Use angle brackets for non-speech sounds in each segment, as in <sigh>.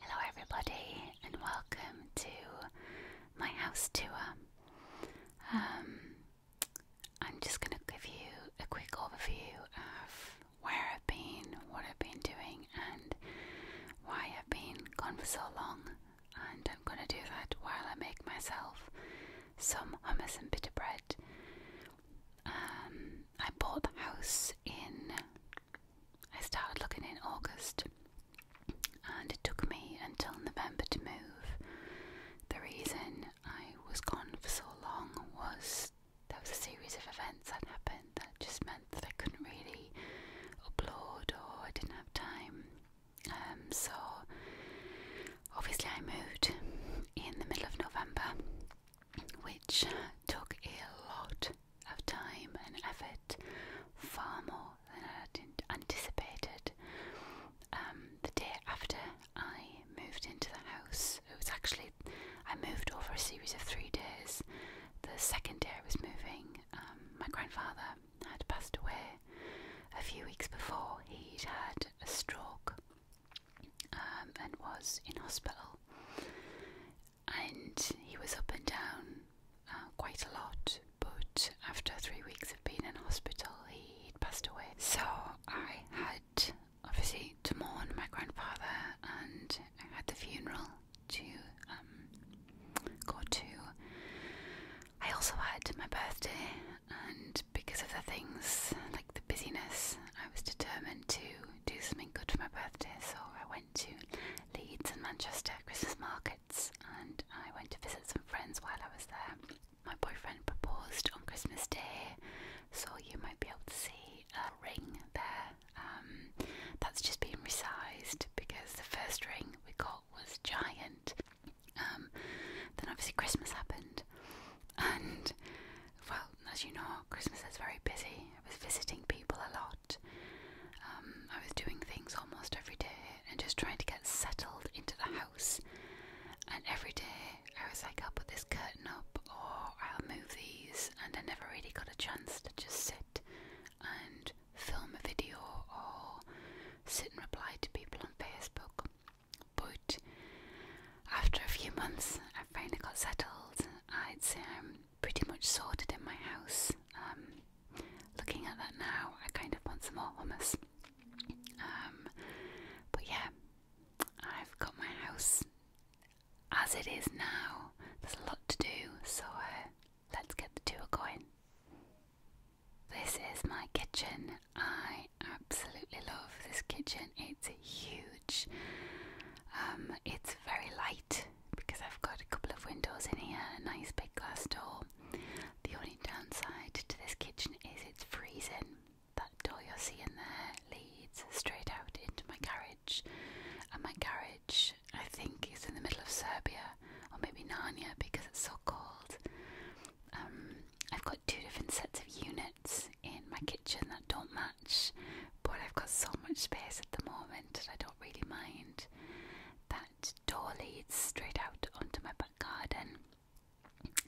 Hello, everybody, and welcome to my house tour. Um, I'm just going to give you a quick overview of where I've been, what I've been doing, and why I've been gone for so long. And I'm going to do that while I make myself some hummus and bitter bread. Um, I bought the house in. I started looking in August, and it took me until November to move. The reason I was gone for so long was there was a series of events that happened that just meant that I couldn't really upload or I didn't have time um, so obviously, I moved in the middle of November, which took a lot of time and effort, far more than I anticipated. Um, the day after I moved into the house, it was actually I moved over a series of three days. The second day I was moving, um, my grandfather had passed away, a few weeks before, he'd had a stroke um, and was in hospital. And he was up and down uh, quite a lot, but after three weeks of being in hospital, he'd passed away. So I had obviously to mourn my grandfather, and I had the funeral to um, go to. I also had my birthday and because of the things like the busyness, I was determined to do something good for my birthday, so I went to Leeds and Manchester Christmas markets and I went to visit some friends while I was there. My boyfriend proposed on Christmas Day, so you might be able to see a ring there. Um, that's just been resized because the first ring we got was giant um, then obviously Christmas happened, and well, as you know, Christmas is very busy. I was visiting people a lot. Um, I was doing things almost every day and just trying to get settled into the house. And every day I was like, I'll put this curtain up or I'll move these. And I never really got a chance to just sit and film a video or sit and reply to people on Facebook. But after a few months, I finally got settled. I'd say I'm pretty much sorted in my house. Um, looking at that now, I kind of want some more hummus. Um, but yeah, I've got my house as it is now. There's a lot to do, so uh, let's get the tour going. This is my kitchen. I absolutely love this kitchen. It's huge. Um, it's very light because I've got a couple of windows in here, a nice big glass door. The only downside to this kitchen is it's freezing. That door you're seeing there leads straight out into my garage, and my garage I think, is in the middle of Serbia or maybe Narnia because it's so cold. Um, I've got two different sets of units in my kitchen that don't match, but I've got so much space at the moment that I don't really mind. That door leads straight out onto my back garden,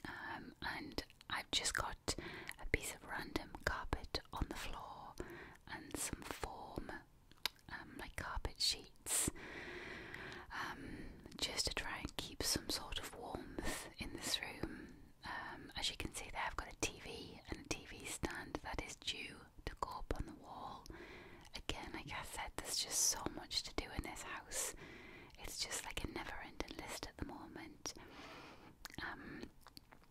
um, and I've just got a piece of random carpet on the floor and some form um, like carpet sheets just to try and keep some sort of warmth in this room. Um, as you can see, there I've got a TV and a TV stand that is due to go up on the wall. Again, like I said, there's just so much to do in this house. It's just like a never-ending list at the moment. Um,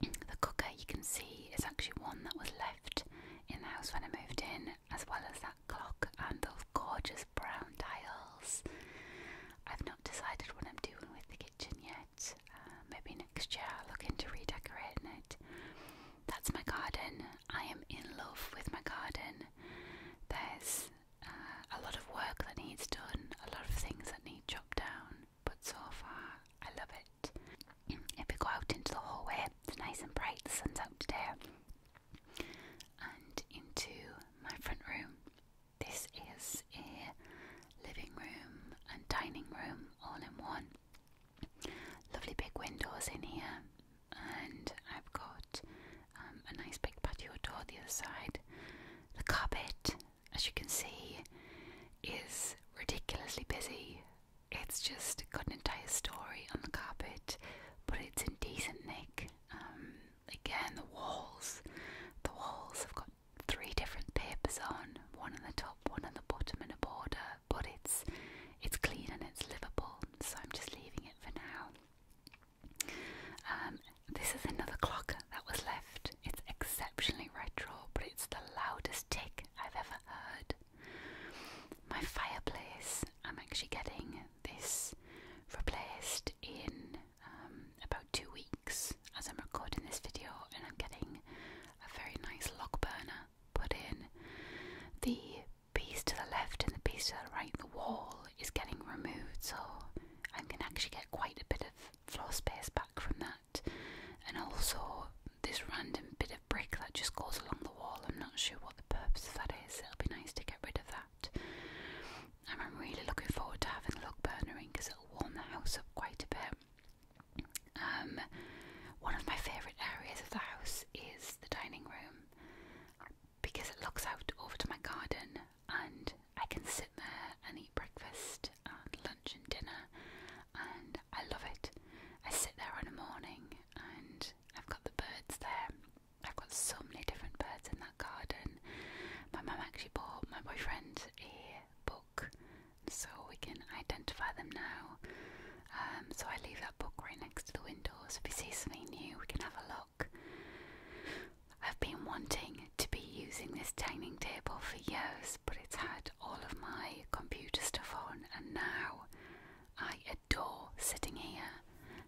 the cooker you can see is actually one that was left in the house when I moved in, as well as that clock and those gorgeous brown tiles. I've not decided what I'm doing with the kitchen yet. Uh, maybe next year I'll look into redecorating it. That's my garden. I am in love with my garden. There's uh, a lot of work that needs done, a lot of things that need chopped down, but so far I love it. If we go out into the hallway, it's nice and bright, the sun's out today and into my front room. This is a living room and dining room all in one. Lovely big windows in here, and I've got um, a nice big patio door the other side. The carpet, as you can see, is ridiculously busy. It's just got an entire story on the carpet, but it's in decent nick. Um, again, the walls. The walls have got three different papers on, one on the top, one on the bottom, and a border. But it's it's clean and it's livable, so I'm just leaving it for now. Um, this is another clock that was left. It's exceptionally retro, but it's the loudest tick I've ever heard. My fireplace. I'm actually getting this replaced in um, about two weeks as I'm recording this video, and I'm getting a very nice log burner put in. The piece to the left and the piece to the right, the wall, is getting removed, so i can actually get quite a bit of floor space back from that. And also, this random bit of brick that just goes along the wall, I'm not sure what the purpose of that is. It'll be nice to get rid of that. And I'm really looking forward to having a log burner in because it'll warm the house up quite a bit. Um, one of my favourite areas of the house is the dining room because it looks out over to my garden and I can sit there and eat breakfast and lunch and dinner and I love it. I sit there in the morning and I've got the birds there I've got so many different birds in that garden. My mum actually bought my boyfriend a book so we can identify them now. Um, so I leave that book right next to the window so if we see something new we can have a look. I've been wanting to be using this dining table for years but it's had all of my computer stuff on and now I Door, sitting here,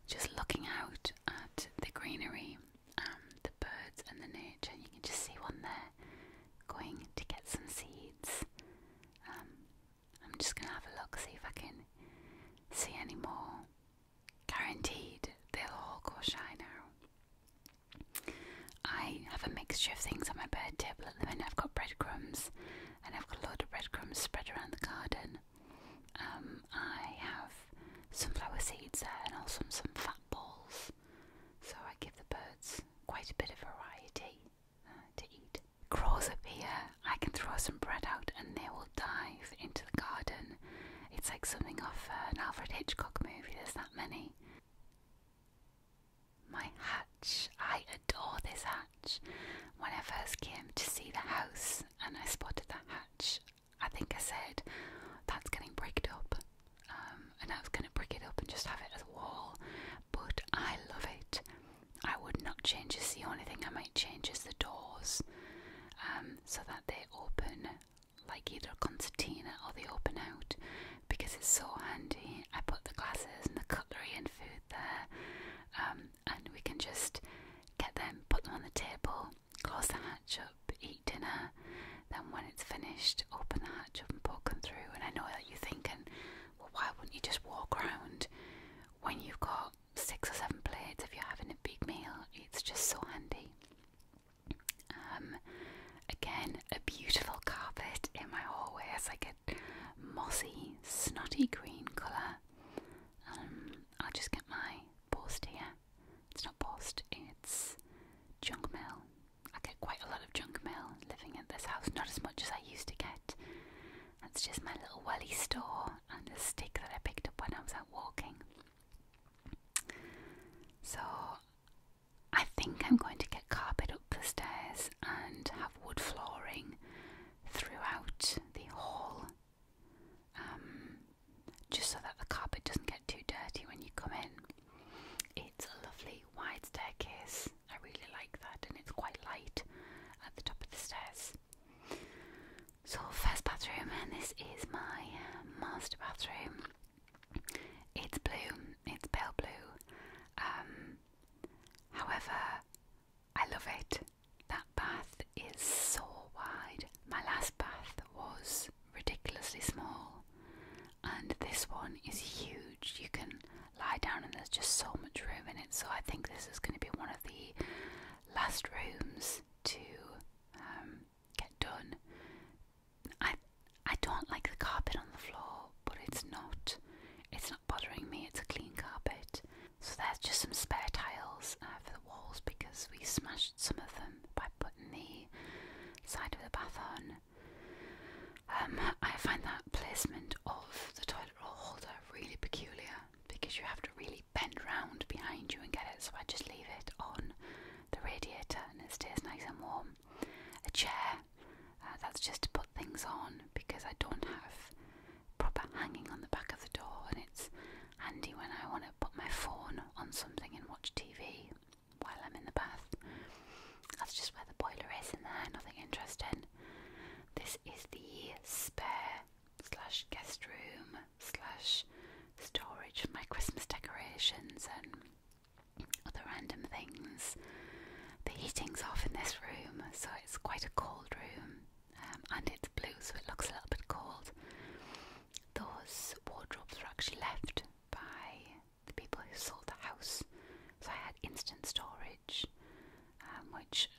just looking out at the greenery and um, the birds and the nature. You can just see one there going to get some seeds. Um, I'm just going to have a look, see if I can see any more. Guaranteed, they'll all go shy now. I have a mixture of things on my bird table at the I've got breadcrumbs and I've got a lot of breadcrumbs spread around the garden. Um, I have sunflower seeds and also some fat balls, so I give the birds quite a bit of variety uh, to eat. Crows up here, I can throw some bread out and they will dive into the garden. It's like something off uh, an Alfred Hitchcock movie, there's that many. My hatch, I adore this hatch. When I first came to see the house and I spotted that hatch, I think I said, that's getting bricked up. Um, and I was going to brick it up and just have it as a wall. But I love it. I would not change this. The only thing I might change is the doors um, so that they open like either concertina or they open out because it's so handy. I put the glasses and the cutlery and food there. Um, and we can just get them, put them on the table, close the hatch up, eat dinner. Then, when it's finished, open the hatch up and poke them through. And I know that you're thinking, well, why wouldn't you just walk around when you've got six or seven plates if you're having a big meal? It's just so handy. Um, again, a beautiful carpet in my hallway. It's like a mossy, snotty green colour. Um, I'll just get my post here. It's not post, it's junk mail. I get quite a lot of junk mail living in this house, not as much as I used to get. That's just my little welly store and a stick that I picked up when I was out walking. So I think I'm going to get carpet up the stairs and have wood flooring throughout the hall um, just so that the carpet doesn't get too dirty when you come in. It's a lovely wide staircase. I really like that, and it's quite light at the top of the stairs. So, first bathroom, and this is my master bathroom. It's blue, it's pale blue. Um, however, I love it that bath is so wide. My last bath was ridiculously small, and this one is huge. You can lie down, and there's just so much room in it. So, I think this is going to be one of the last rooms to um, get done. I I don't like the carpet on the floor, but it's not it's bothering me, it's a clean carpet. So there's just some spare tiles uh, for the walls because we smashed some of them by putting the side of the bath on. Um, I find that placement of the toilet roll holder really peculiar because you have to really bend round behind you and get it, so I just leave it on the radiator and it stays nice and warm. A chair, uh, that's just to put things on because I don't have proper hanging on the back of the door, and it's handy when I want to put my phone on something and watch TV while I'm in the bath. That's just where the boiler is in there, nothing interesting. This is the spare slash guest room slash storage for my Christmas decorations and other random things. The heating's off in this room, so it's quite a cold room. Um, and it's blue, so it looks a little bit cold. Those wardrobes were actually left by the people who sold the house, so I had instant storage, um, which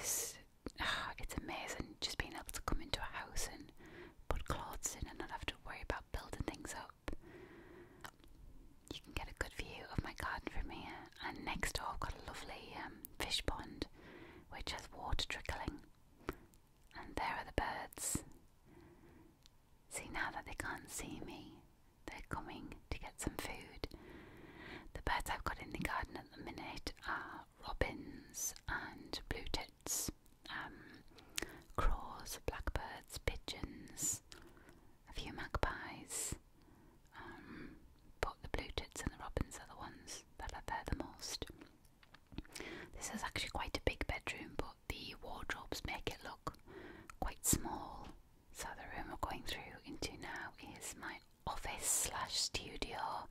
is ah, it's amazing just being able to come into a house and put clothes in and not have to worry about building things up. You can get a good view of my garden from here, and next door I've got a lovely um, fish pond which has water trickling. And there are the birds. See, now that they can't see me, they're coming to get some food. The birds I've got in the garden at the minute are robins and blue tits, um, crows, blackbirds, pigeons, a few magpies, but um, the blue tits and the robins are the ones that are there the most. This is actually quite a big bedroom, but the wardrobes make it look quite small. So the room we're going through into now is my office slash studio.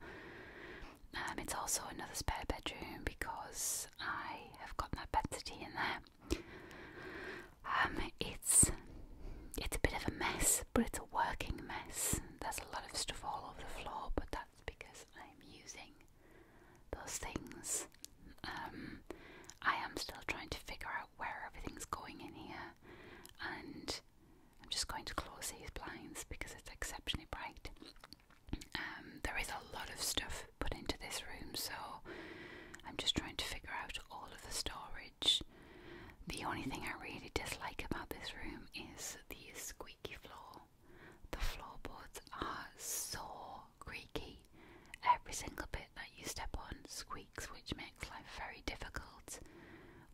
Um, it's also another spare bedroom because I have got my bed city in there. Um, it's it's a bit of a mess, but it's a working mess. There's a lot of stuff all over the floor, but that's because I'm using those things. Um, I am still trying to figure out where everything's going in here, and I'm just going to close these blinds because it's exceptionally bright. Um, there is a lot of stuff put into this room, so I'm just trying to figure out all of the story the only thing I really dislike about this room is the squeaky floor. The floorboards are so creaky. Every single bit that you step on squeaks, which makes life very difficult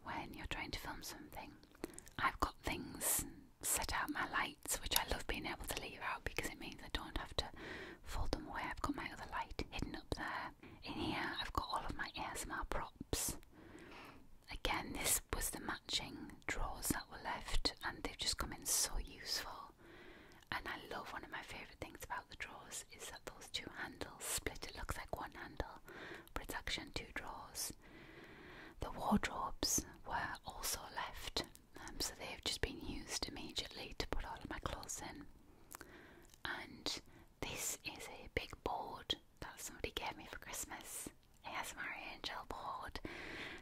when you're trying to film something. I've got things set out my lights, which I love being able to leave out because it means I don't have to fold them away. I've got my other light hidden up there. In here, I've got all of my ASMR props Again, this was the matching drawers that were left, and they've just come in so useful. And I love one of my favourite things about the drawers is that those two handles split, it looks like one handle, but it's actually two drawers. The wardrobes were also left, um, so they've just been used immediately to put all of my clothes in and this is a big board that somebody gave me for Christmas. ASMR Angel board.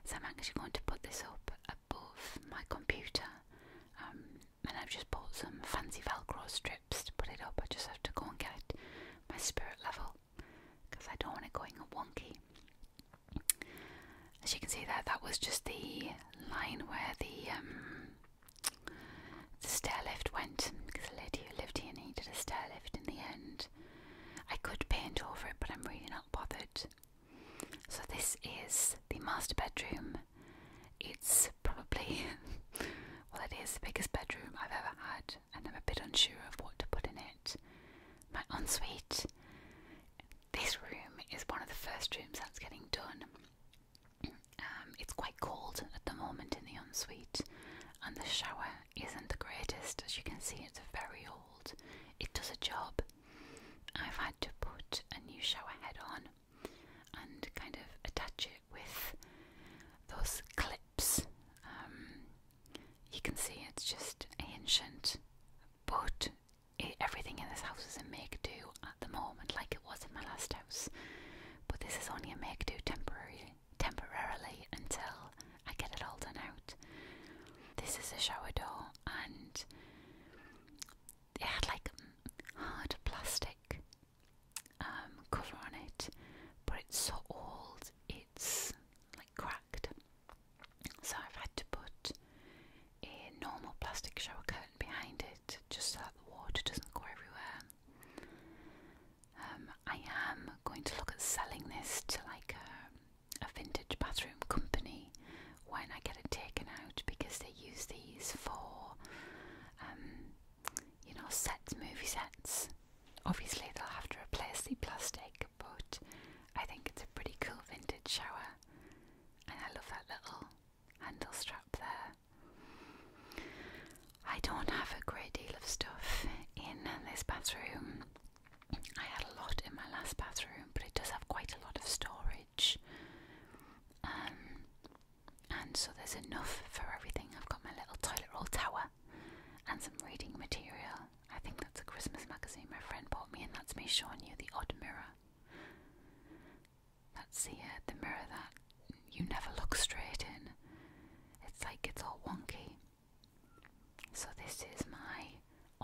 So I'm actually going to put this up above my computer. Um, and I've just bought some fancy Velcro strips to put it up. I just have to go and get my spirit level because I don't want it going wonky. As you can see there, that was just the line where the um, the stair lift went because the lady who lived here needed a stair lift in the end. I could paint over it, but I'm really not bothered. So, this is the master bedroom. It's probably, <laughs> well, it is the biggest bedroom I've ever had, and I'm a bit unsure of what to put in it. My ensuite. This room is one of the first rooms that's getting done. Um, it's quite cold at the moment in the ensuite, and the shower isn't the greatest. As you can see, it's very old. It does a job. I've had to put a new shower head on and kind of attach it with those clips. Um, you can see it's just ancient, but everything in this house is a make do at the moment, like it was in my last house, but this is only a make do temporarily, temporarily until I get it all done out. This is a shower door, and it had like hard plastic um, cover on it, but it's so old it's like cracked. So I've had to put a normal plastic shower curtain behind it just so that the water doesn't go everywhere. Um, I am going to look at selling this to like a, vintage bathroom company when I get it taken out because they use these for, um, you know, sets, movie sets. Obviously, they'll have to replace the plastic, but I think it's a pretty cool vintage shower, and I love that little handle strap there. I don't have a great deal of stuff in this bathroom. I had a lot in my last bathroom, but it does have quite a lot of storage. Um, and so there's enough for everything. I've got my little toilet roll tower and some reading material. I think that's a Christmas magazine my friend bought me, and that's me showing you the odd mirror. That's see uh, the mirror that you never look straight in. It's like it's all wonky. So this is my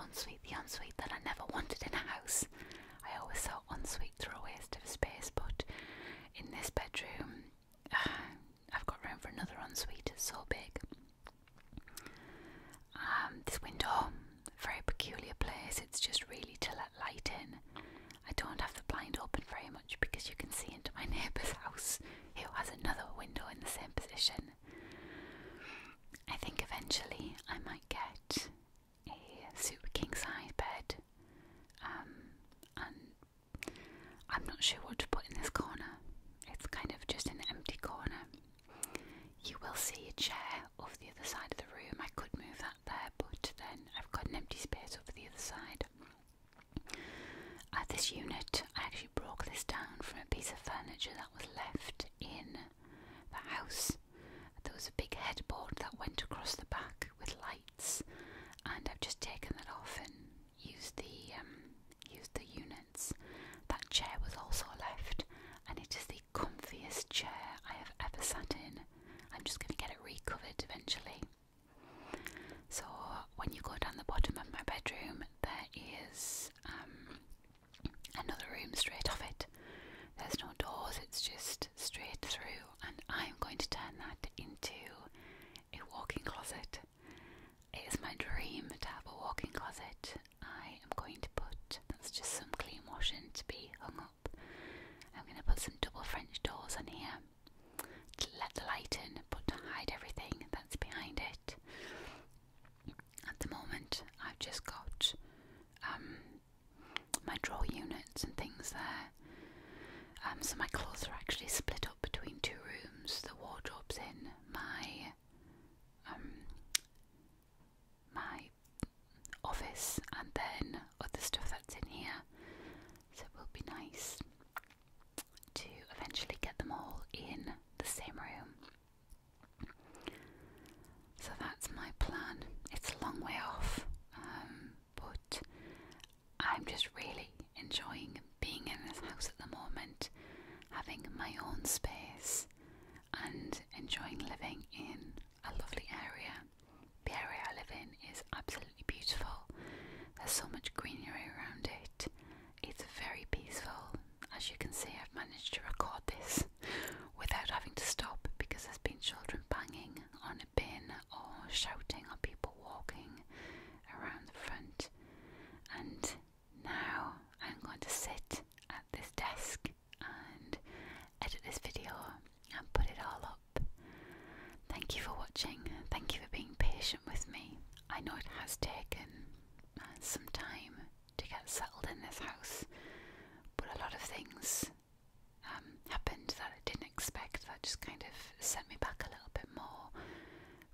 ensuite, the ensuite that I never wanted in a house. I always thought ensuites were a waste of space, but in this bedroom, <sighs> I've got room for another ensuite. It's so big. Um, this window, very peculiar place. It's just really to let light in, I don't have the blind open very much because you can see into my <laughs> neighbour's house who has another window in the same position. I think eventually I might get a super king size bed, um, and I'm not sure what to put in this corner. It's kind of just an empty corner. You will see a chair off the other side of the room. I could move that there, but then I've got an empty space over the other side. At this unit, I actually broke this down from a piece of furniture that was left in the house. There was a big headboard that went across the back with lights, and I've just taken that off and used the um, used the units. That chair was also left, and it is the comfiest chair I have ever sat in. I'm just going to get it recovered eventually. So when you go down the bottom of my bedroom, there is um, another room straight off it. There's no doors, it's just straight through, and I'm going to turn that into a walk in closet. It is my dream to have a walk in closet. I am going to put that's just some clean washing to be hung up. I'm going to put some double French doors in here to let the light in but to hide everything that's behind it. At the moment, I've just got um, my drawer units and things there. Um, so my clothes are actually split up between two rooms. The wardrobe's in my um, my office, and then other stuff that's in here. So it will be nice to eventually get them all in the same room. So that's my plan. It's a long way off, um, but I'm just really enjoying being in this house at the moment, having my own space, and enjoying living in a lovely area. The area I live in is absolutely beautiful. There's so much greenery around it. It's very peaceful. As you can see, I've managed to record this <laughs> without having to stop because there's been children banging on a bin or shouting or people walking around the front. And now I'm going to sit at this desk and edit this video and put it all up. Thank you for watching. Thank you for being patient with me. I know it has taken uh, some time to get settled in this house, but a lot of things um, happened that I didn't expect that just kind of set me back a little bit more.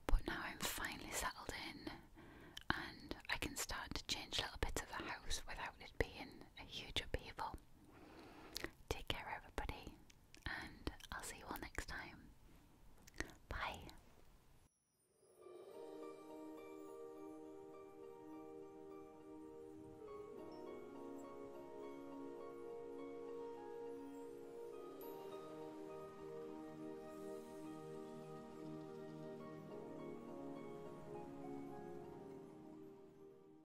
But now I'm finally settled in and I can start to change a little bit of the house without it being a huge upheaval. Take care, everybody, and I'll see you all next time. Bye.